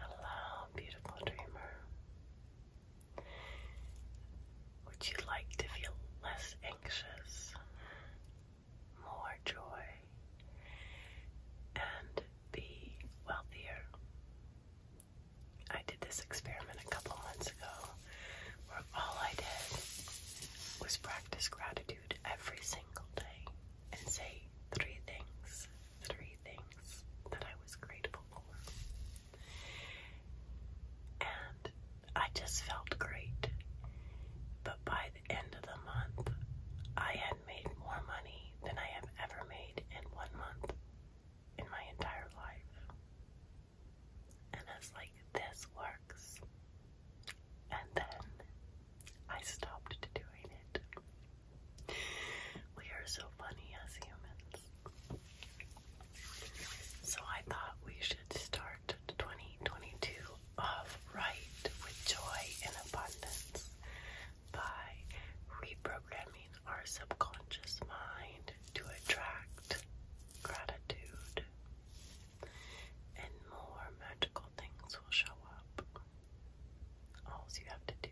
Hello, beautiful dreamer. Would you like to feel less anxious, more joy, and be wealthier? I did this experiment a couple months ago where all I did was practice gratitude every single day and say three things three things that I was grateful for. And I just felt great. But by the end of the month, I had made more money than I have ever made in one month in my entire life. And I was like, this works. And then I stopped doing it. We are so funny as humans. So I thought we should start 2022 off right with joy and abundance by reprogramming our subconscious mind to attract gratitude and more magical things will show up. All you have to do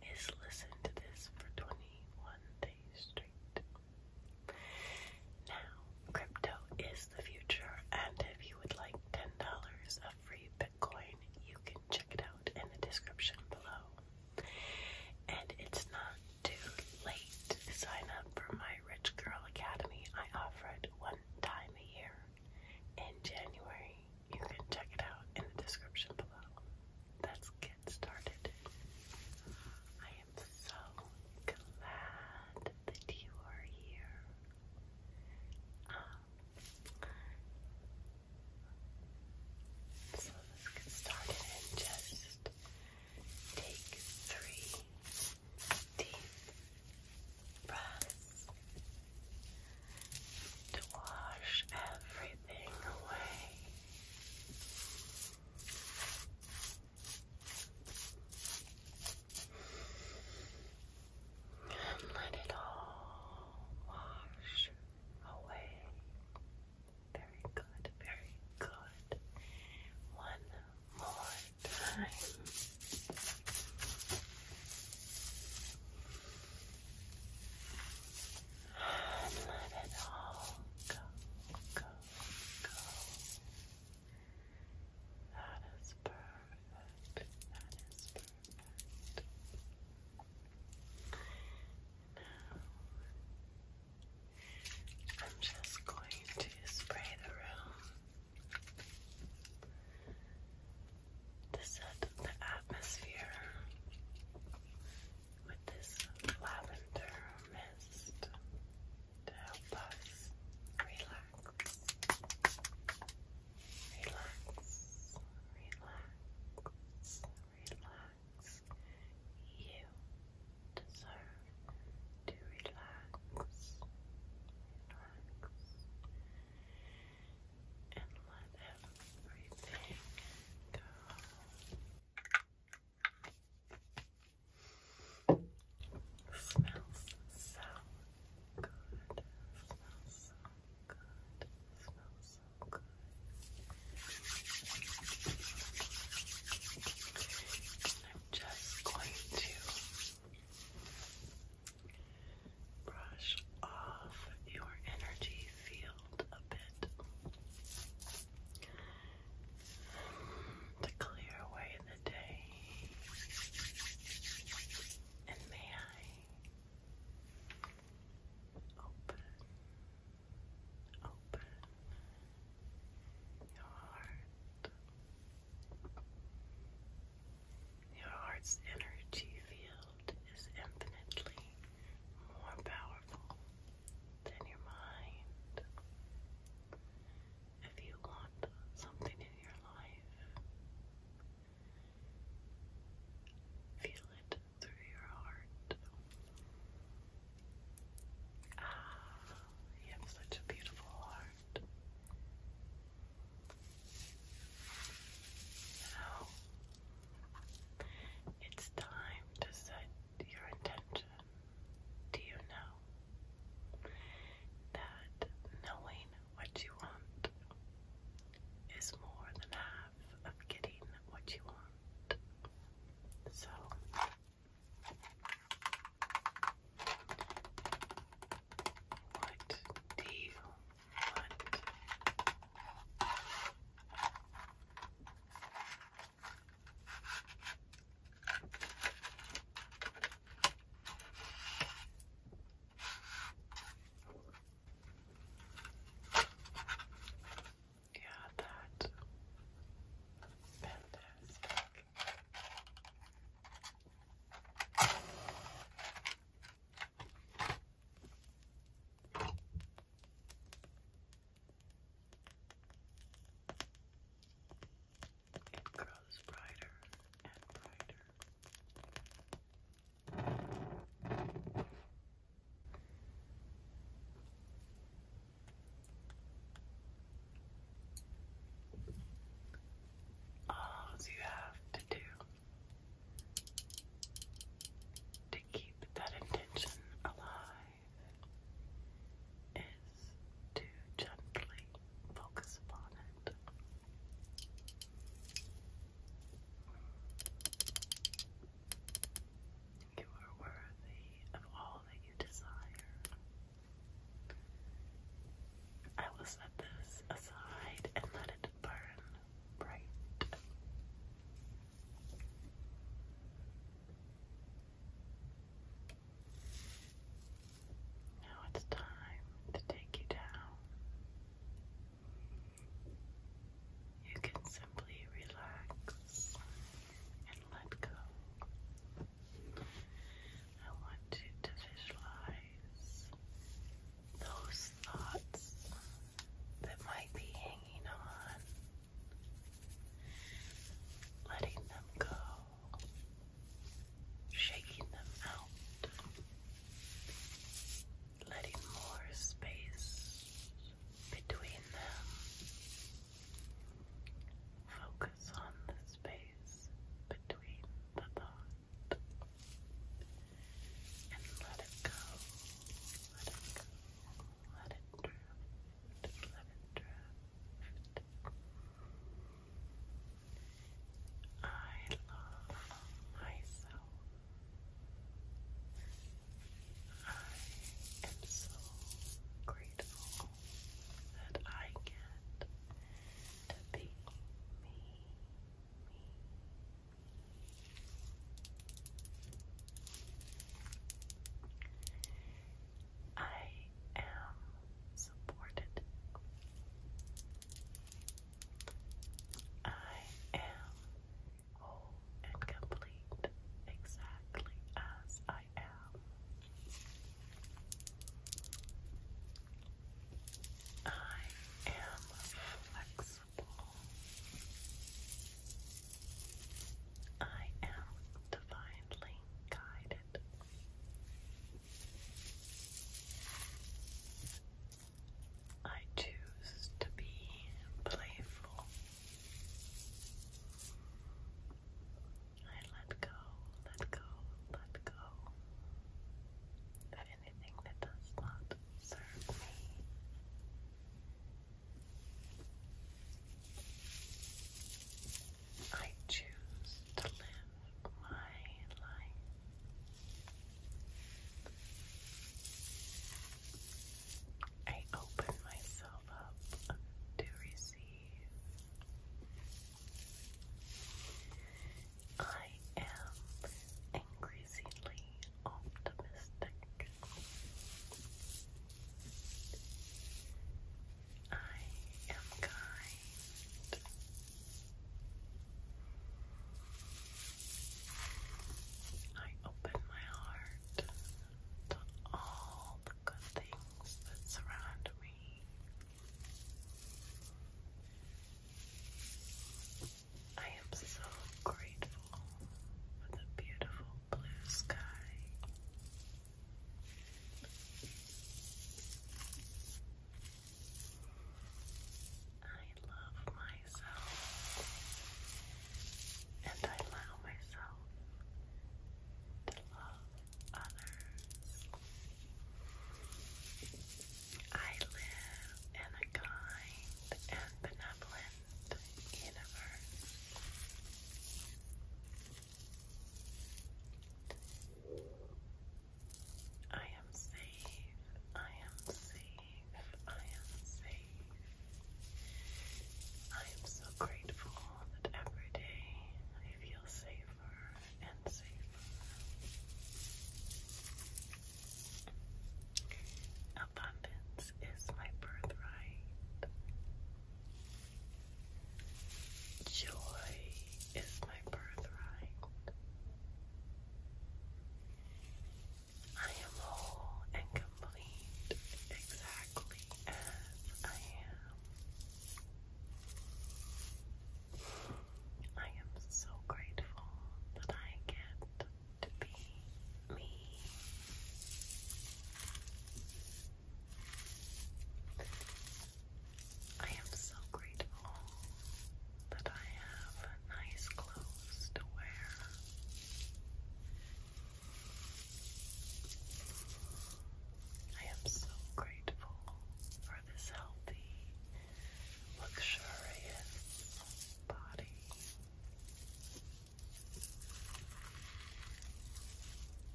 is listen to this for 21 days straight. Now, crypto is the future, and if you would like $10 of free Bitcoin, you can check it out in the description below. And it's not too late to sign up for my Rich Girl Academy. I offer it one time a year in January. You can check it out in the description below. Let's get started. I am so glad that you are here. Um, so let's get started and just take three deep breath to wash everything away. And let it all wash away. Very good, very good. One more time let it all go, go, go. That is perfect. That is perfect. Now, I'm just going to spray the room to set the atmosphere with this lavender mist to help us relax, relax, relax, relax. You deserve to relax, relax and let everything go. Smells so good. Smells so good. Smells so good. And I'm just going to Brush off your energy field a bit to clear away the day. And may I open, open your heart. Your heart's energy field is infinitely more powerful than your mind. If you want something in your life, feel it through your heart. Ah, you have such a beautiful heart heart. Now, it's time to set your intention. Do you know that knowing what you want is more than half of getting what you want? So, what do you want? Yeah, that fantastic. It grows brighter and brighter all you have to do to keep that intention alive is to gently focus upon it. You are worthy of all that you desire. I will set this aside and let it burn bright. Now it's time to take you down. You can simply relax and let go I want to visualize those thoughts that might be hanging on, letting them go, shaking them out, letting more space between them. Focus on the space between the thought and let it go, let it go, let it drift, let it drift. I love myself. I am so grateful that I get to be me, me. I am supported. I am whole and complete, exactly as I am. I am flexible. I am divinely guided. I choose to be playful. I let go, let go, let go of anything that does not serve me. I choose to live my life. I open myself up to receive. I am increasingly optimistic. I am kind. I open my heart to all the good things that surround me. I am so grateful for the beautiful blue sky. I love myself and I allow myself to love others. I live in a kind and benevolent universe. I am safe, I am safe, I am safe. I am so grateful that every day I feel safe Abundance is my birthright. Joy is my birthright. I am whole and complete exactly as I am. I am so grateful that I get to be me. I am so grateful that I have nice clothes to wear. I am so grateful for this healthy, luxurious body.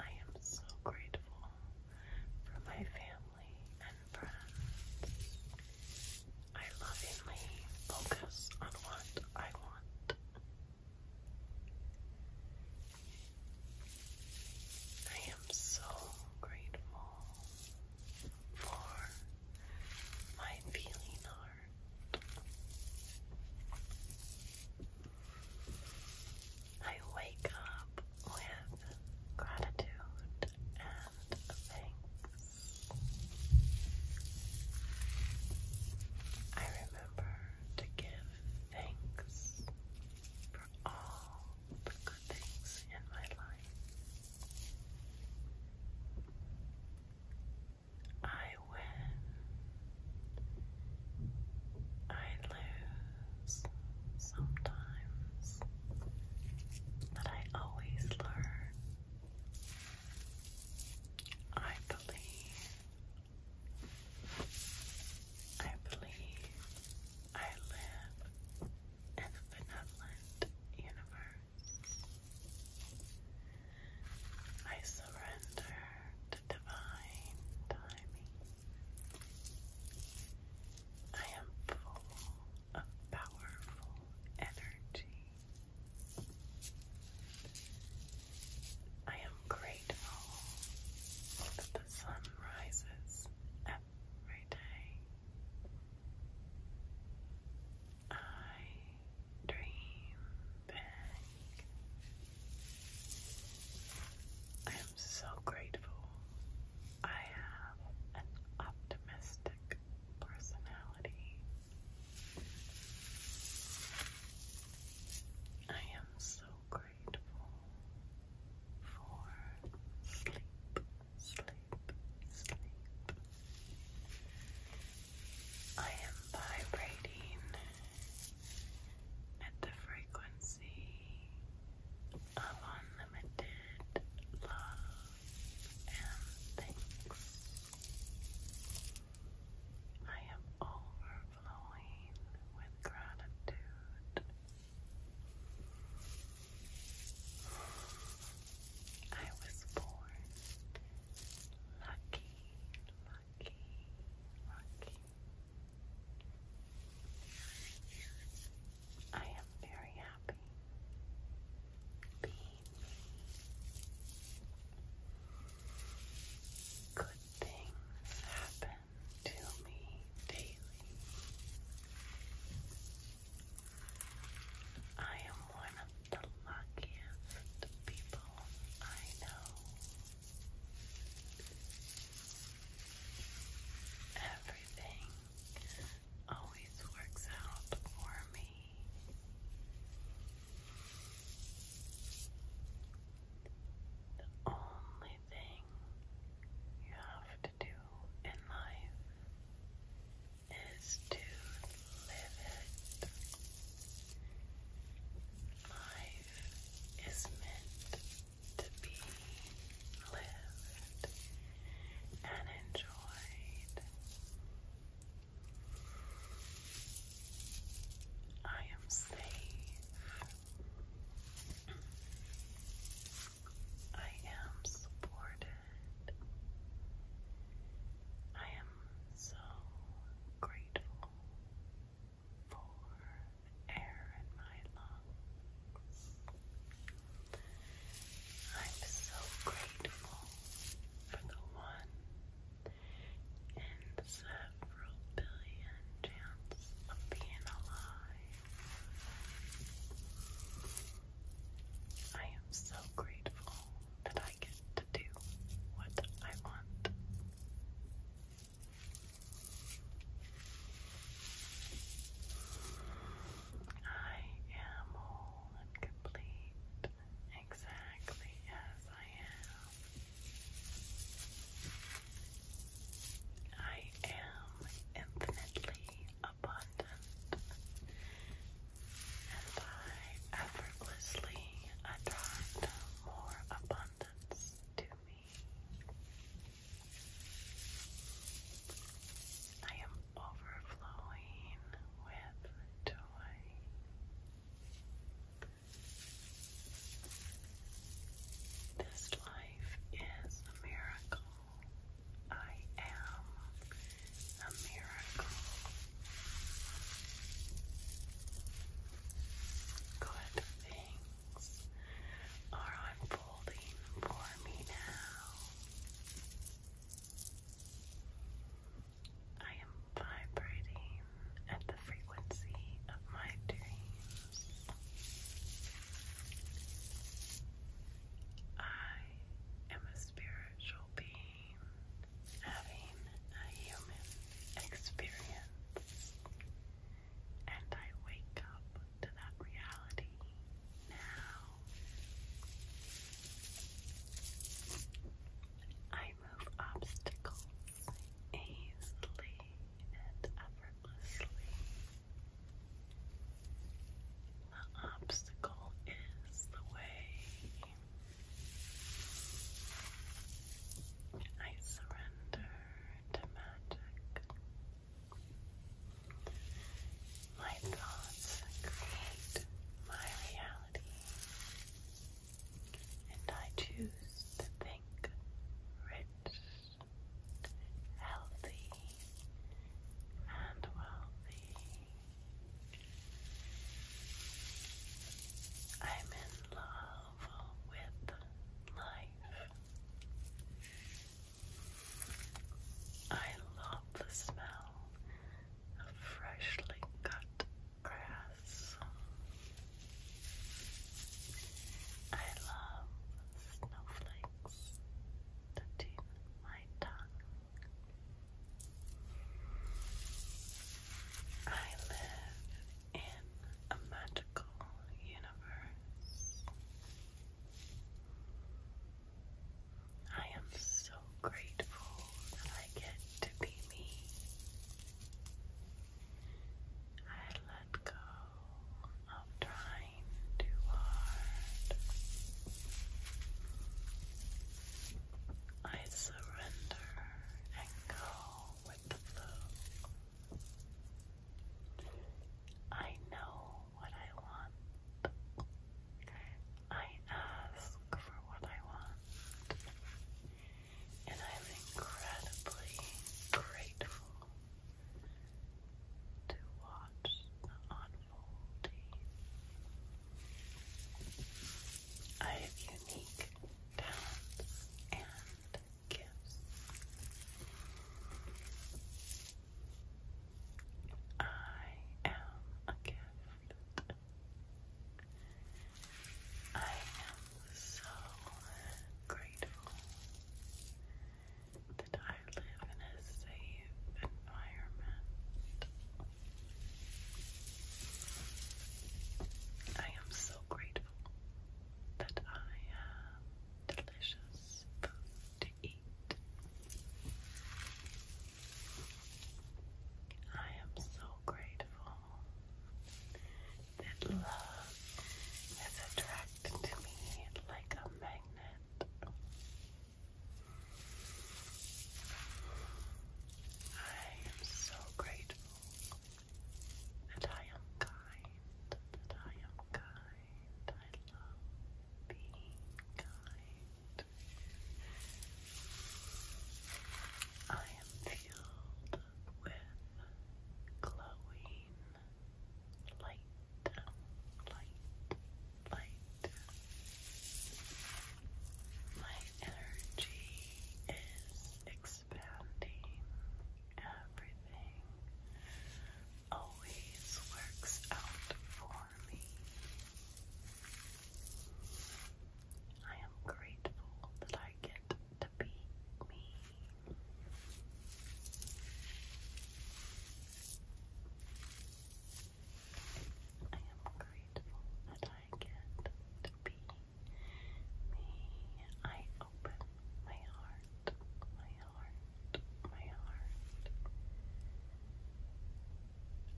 I am so grateful for my family and friends. I lovingly focus on what I want. I am so grateful for my feeling art. I wake up with gratitude and thanks. I remember to give thanks all the good things in my life. I win. I lose sometimes, but I always learn. I believe I believe I live in a benevolent universe. I surrender to divine timing. I am full of powerful energy. I am grateful that the sun rises every day. I dream big. I am so grateful I have an optimistic personality. I am so grateful grateful for sleep, sleep, sleep. I am vibrating at the frequency of unlimited love and thanks. I am over overflowing with gratitude. I was born lucky, lucky, lucky. I am very happy being me. Good things happen to me daily. I am one of the luckiest people I know. Everything always works out for me. The only thing you have to do in life is to live it. Life is meant to be lived and enjoyed. I am safe. I am supported. I am so grateful for air in my lungs. I'm so grateful for the one and several billion chances of being alive. I am so grateful that I get to do what I want. I am whole and complete, exactly as I am. I am infinitely abundant, and I effortlessly attract more abundance to me. I am overflowing with joy. This life is a miracle. I am a miracle. Good things are unfolding for me now. I am vibrating at the frequency of my dreams. I am a spiritual being having a human experience, and I wake up to that reality now. I remove obstacles easily and effortlessly. The obstacle is the way. I surrender to magic. My thoughts create my reality and I choose to think rich, healthy, and wealthy. I'm in love with life. I love the smell of freshly cut grass. I love snowflakes touching my tongue. I live in a magical universe. I am so grateful that I get to be me. I let go of trying too hard. I surrender and go with the flow. I know what I want. I ask for what I want and I am incredibly grateful to watch the unfolding. I have unique talents and gifts. I am a gift. I am so grateful that I live in a safe environment. I am so grateful that I have delicious food to eat. I am so grateful that love is attracted to me like a magnet. I am so grateful that I am kind, that I am kind. I love being kind. I am filled with glowing light, light, light. My energy is expanding. Everything always works out for me. I am grateful that I get to to beat me. I am grateful that I get to be me. I open my heart, my heart, my heart.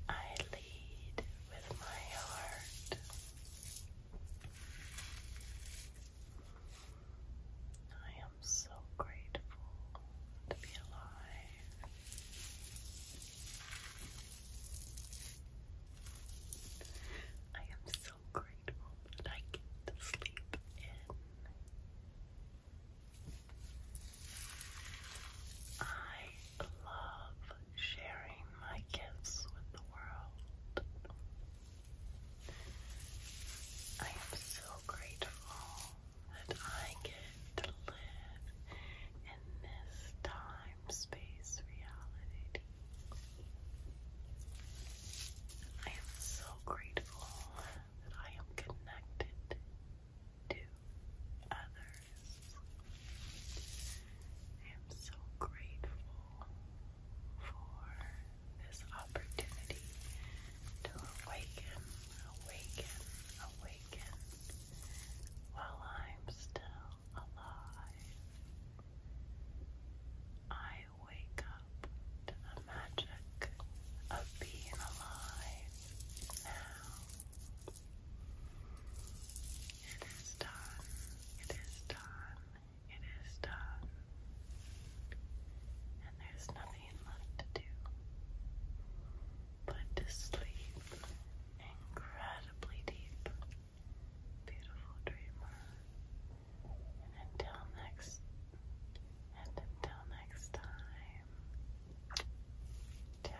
I lead with my heart. I am so grateful to be alive. I am so grateful that I get to sleep in. I I love sharing my gifts with the world. I am so grateful that I get to live in this time space reality. I am so grateful that I am connected to others. I am so grateful for this opportunity to awaken, awaken, awaken while I'm still alive. I wake up to the magic of being alive now. It is done. It is done. It is done. And there's nothing left to do but to sleep incredibly deep. Beautiful dreamer. And until next and until next time. Ciao.